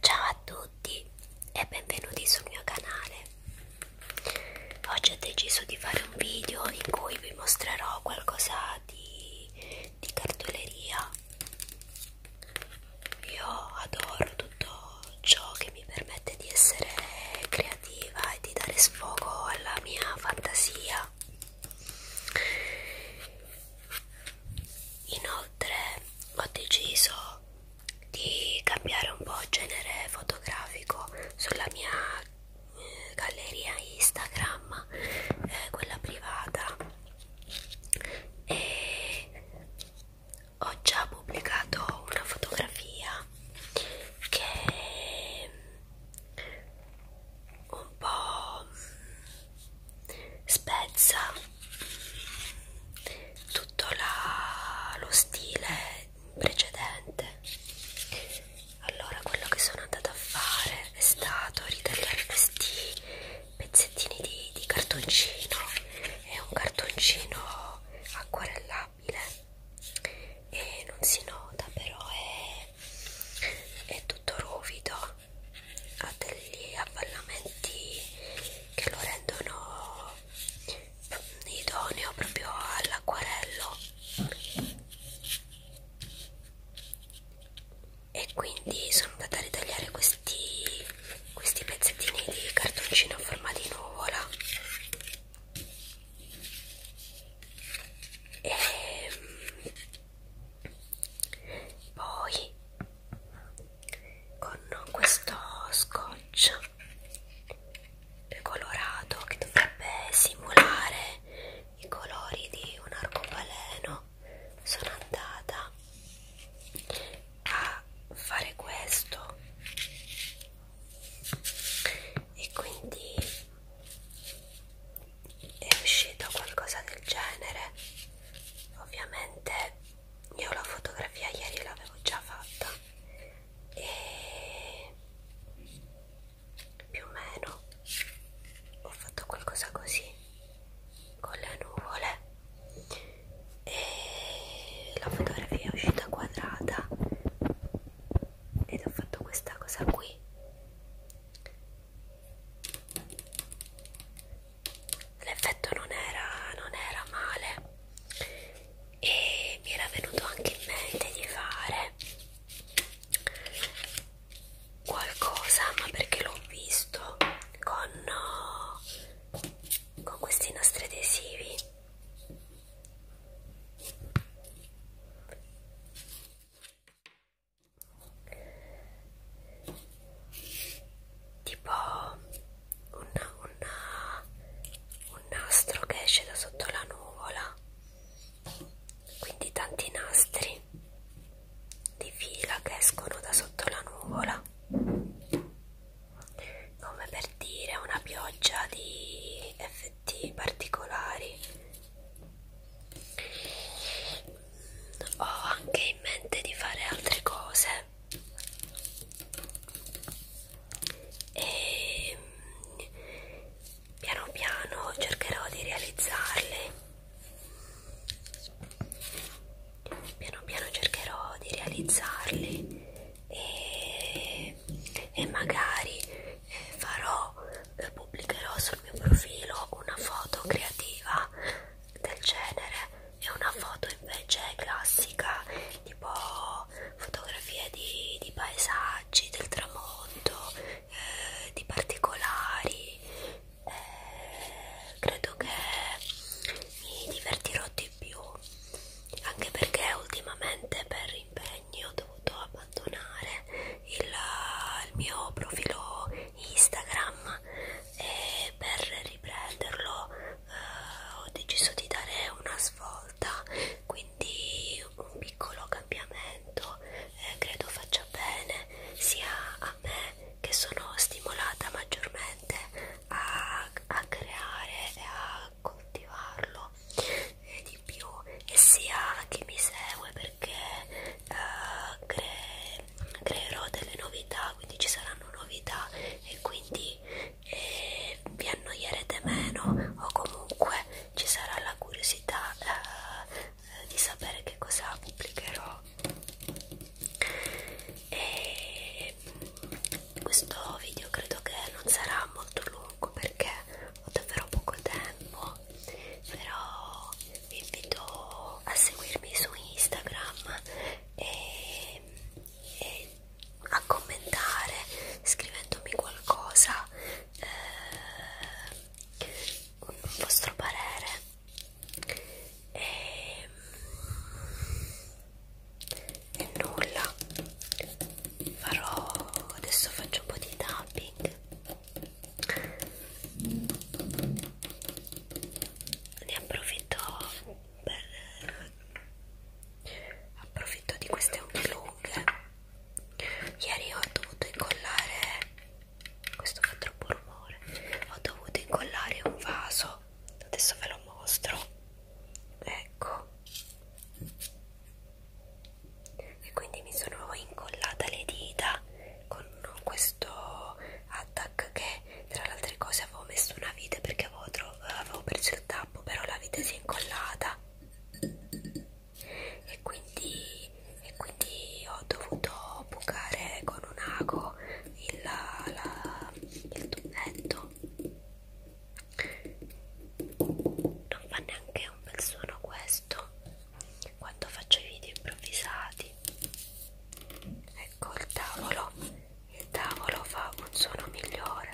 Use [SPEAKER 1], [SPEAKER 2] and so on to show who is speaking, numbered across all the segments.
[SPEAKER 1] Ciao a tutti e benvenuti sul mio canale. Oggi ho deciso di fare un video in cui vi mostrerò qualcosa di, di cartoleria io adoro tutto ciò che mi permette di essere creativa e di dare sfogo alla mia fantasia inoltre ho deciso di cambiare un po' genere fotografico sulla mia eh, galleria Instagram, eh, quella privata, e ho già pubblicato una fotografia che un po' spezza tutto la, lo stile precedente allora quello che sono andata a fare è stato ritagliare questi pezzettini di, di cartoncino è un cartoncino po' acquarellabile e non si nota però è, è tutto ruvido ha degli avvallamenti che lo rendono idoneo proprio all'acquarello e quindi sono andata a ritagliare questi questi pezzettini di cartoncino a forma di nuvola e ehm, poi con questo scotch colorato che dovrebbe simulare i colori di un arcobaleno sono andata a fare questo e quindi è uscito qualcosa del genere ovviamente io la fotografia ieri l'avevo già fatta e più o meno ho fatto qualcosa così con le nuvole e la fotografia è uscita quadrata ed ho fatto questa cosa qui l'effetto non era non era male e mi era venuto anche in mente di fare qualcosa ma perché l'ho visto con, con questi nastri adesivi tipo una, una, un nastro che esce da sotto la nuvola quindi tanti nastri di fila che escono da sotto la nuvola come per dire una pioggia di effetti particolari ho anche in mente di fare altre cose e mm, piano piano cercherò di realizzarle piano piano cercherò di realizzarli e, e magari eh, farò eh, pubblicherò sul mio profilo una foto creativa del genere e una foto invece classica tipo fotografie di, di paesaggi del tramonto eh, di particolari eh, credo che mi divertirò di più anche perché ultimamente per impegni ho dovuto abbandonare il, il mio profilo Instagram e per riprenderlo eh, ho deciso di dare una svolta quindi un piccolo cambiamento eh, credo faccia bene sia a me che sono stimolata maggiormente veramente a, a creare e a coltivarlo e di più e sia chi mi segue perché uh, cre creerò delle novità quindi ci saranno novità e quindi eh, vi annoierete meno o comunque ci sarà la curiosità uh, di sapere che cosa pubblicherò e questo video credo che non sarà molto lungo perché ho davvero poco tempo però vi invito a seguirmi su Instagram e, e a commentare scrivendomi qualcosa eh, un vostro parere e e nulla farò adesso faccio un po' di tapping ne approfitto per approfitto di queste unghie lunghe ieri ho dovuto incollare questo fa troppo rumore ho dovuto incollare un vaso adesso ve lo mostro ecco e quindi mi sono incollata le dita con questo attack che tra le altre cose avevo messo una vite perché avevo, avevo perso il tappo però la vite si è incollata e quindi, e quindi ho dovuto bucare con un ago il, la, il tubetto non fa neanche un bel suono questo quando faccio i video improvvisati ecco il tavolo il tavolo fa un suono migliore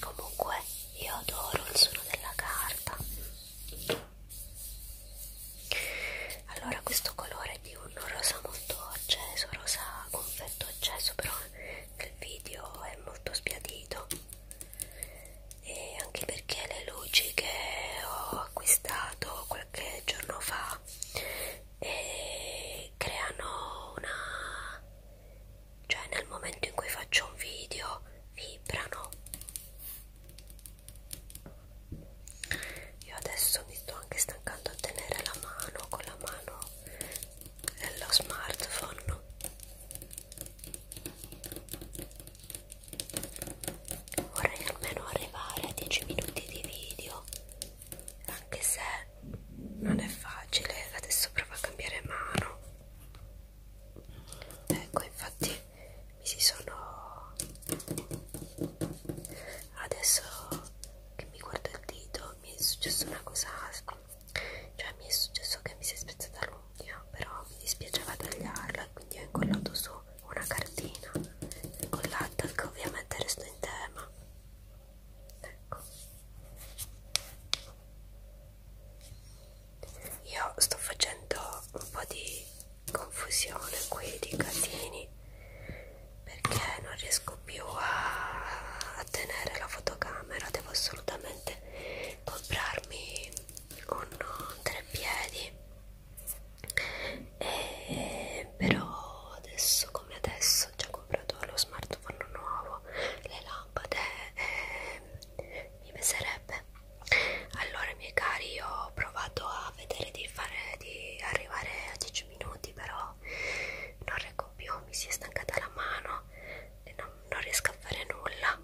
[SPEAKER 1] Comunque io adoro il suono della carta allora questo colore è di un rosa molto acceso rosa confetto acceso però nel video è molto spiadito e anche perché le luci che ho acquistato qualche giorno fa e eh, creano una cioè nel momento in cui faccio un video vibrano io adesso mi sto anche stancando a tenere la mano con la mano lo smartphone vorrei almeno arrivare a 10 minuti di video anche se non è facile adesso provo a cambiare mano ecco infatti mi si sono adesso che mi guardo il dito mi è successo una cosa cioè mi è successo che mi si è spezzata l'unghia però mi dispiaceva tagliarla quindi ho incollato su una cartina incollata che ovviamente resta in tema ecco io sto facendo un po' di confusione qui di casini perché non riesco più a, a tenere la fotocamera devo assolutamente comprarmi un treppiedi e, però adesso come adesso ho già comprato lo smartphone nuovo le lampade e, e mi sarebbe piacerebbe allora miei cari io ho provato a vedere di fare di arrivare a 10 minuti però non reggo più mi si è stancata la mano e non, non riesco a fare nulla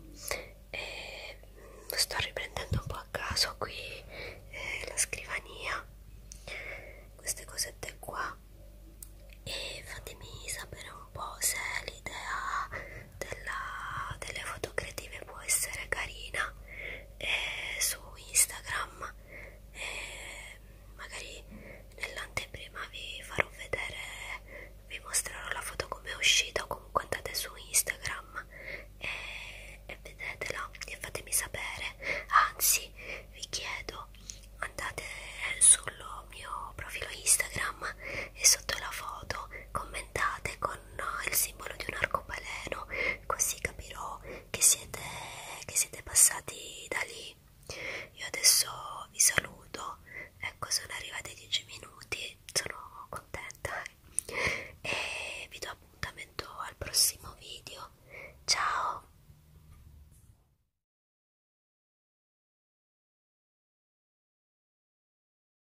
[SPEAKER 1] e mm, sto riprendendo un po' a caso qui eh, la scrivania queste cosette qua e fatemi sapere un po' se l'idea della, delle foto creative può essere carina eh, su Instagram eh, magari nell'anteprima vi farò vedere vi mostrerò la foto come è uscita o comunque andate su Instagram e, e vedetela e fatemi sapere anzi vi chiedo andate sul mio profilo Instagram e sotto la foto commentate commentate con eh, il simbolo di un arcobaleno così capirò che siete, che siete passati da lì io adesso vi saluto ecco sono arrivati 10 minuti sono contenta e vi do appuntamento al prossimo video ciao